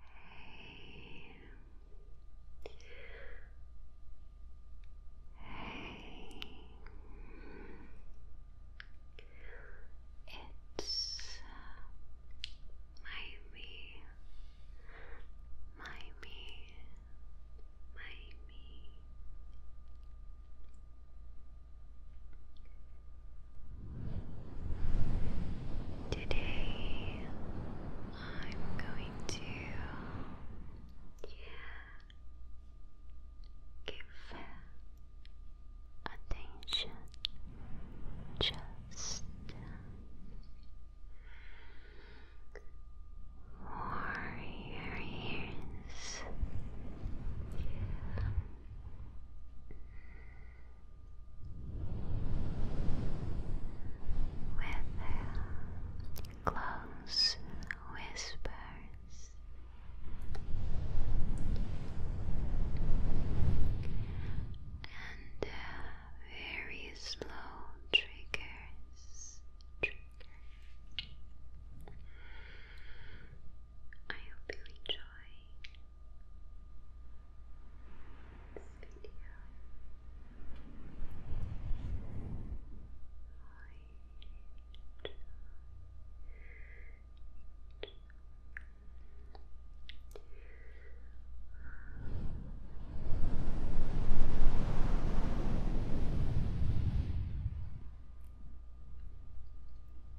Hey. Hey. It's uh, my me, my me, my me. Today I'm going to give attention just for your ears with uh, close whispers. And uh, very slow triggers. I hope you enjoy this video. I I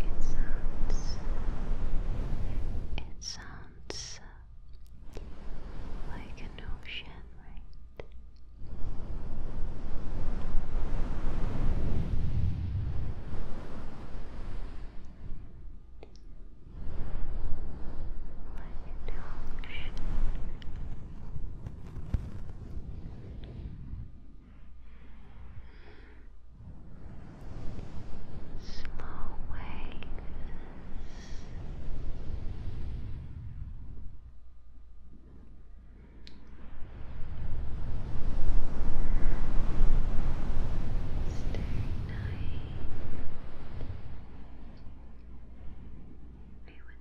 It sounds it sounds like an ocean, right? Like an ocean. Slow waves I want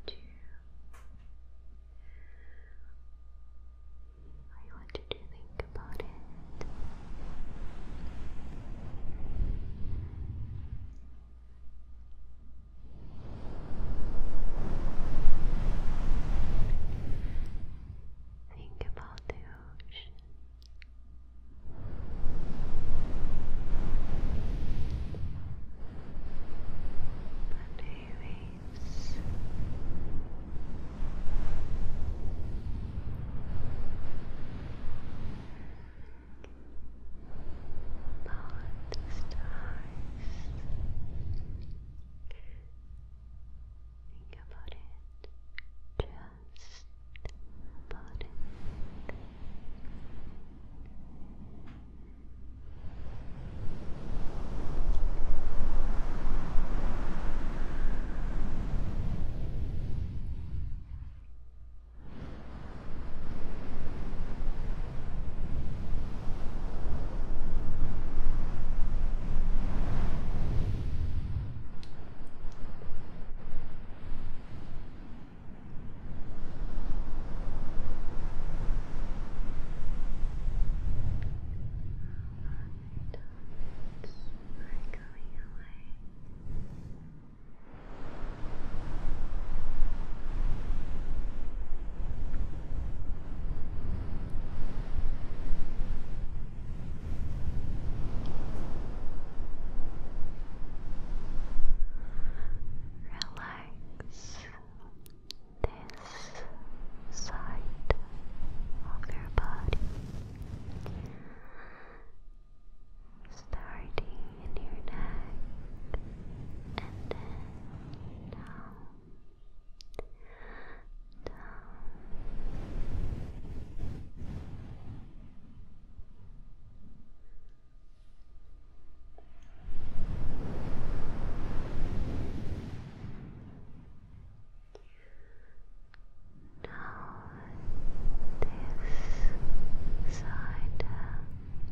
to I want you to think about it. Think about the ocean. The waves by the stars. Think about it. Just about it. Thoughts are going away. Relax this side of your body starting in your neck and then down, down. Now this side.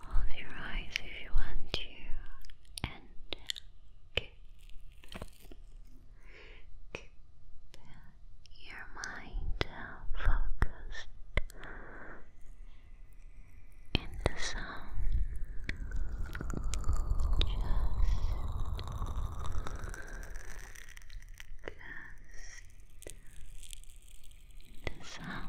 Close your eyes if you want to and Keep your mind focused in the sound. Just, just the sound.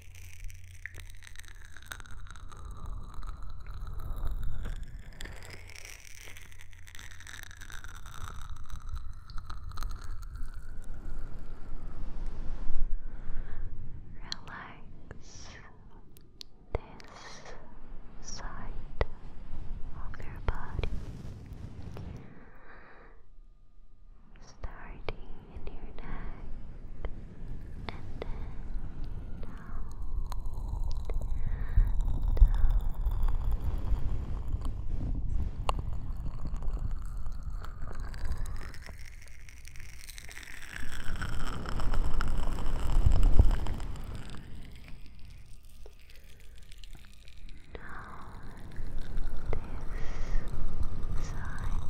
Relax this side of your body starting in your neck and then down, down. this side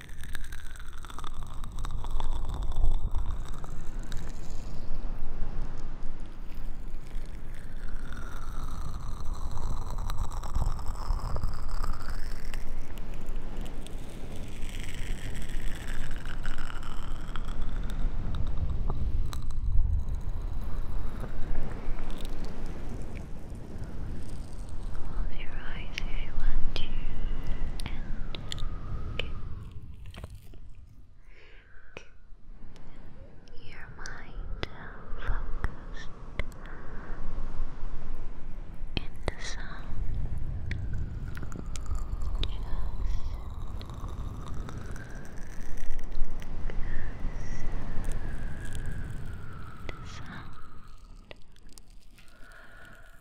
Close your eyes if you want to and Good. Good. Your mind focused in the sun. the sound.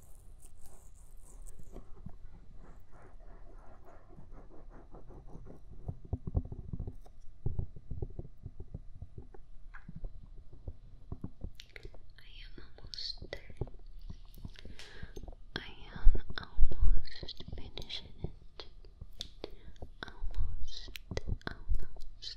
am almost there. I am almost finishing it. Almost, almost.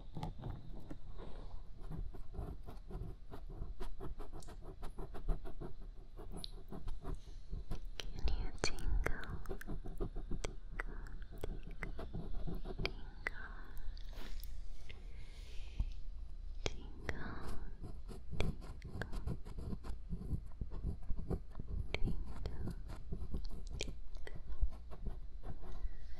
you tingle, tingle, tingle, tingle, tingle, tingle, tingle.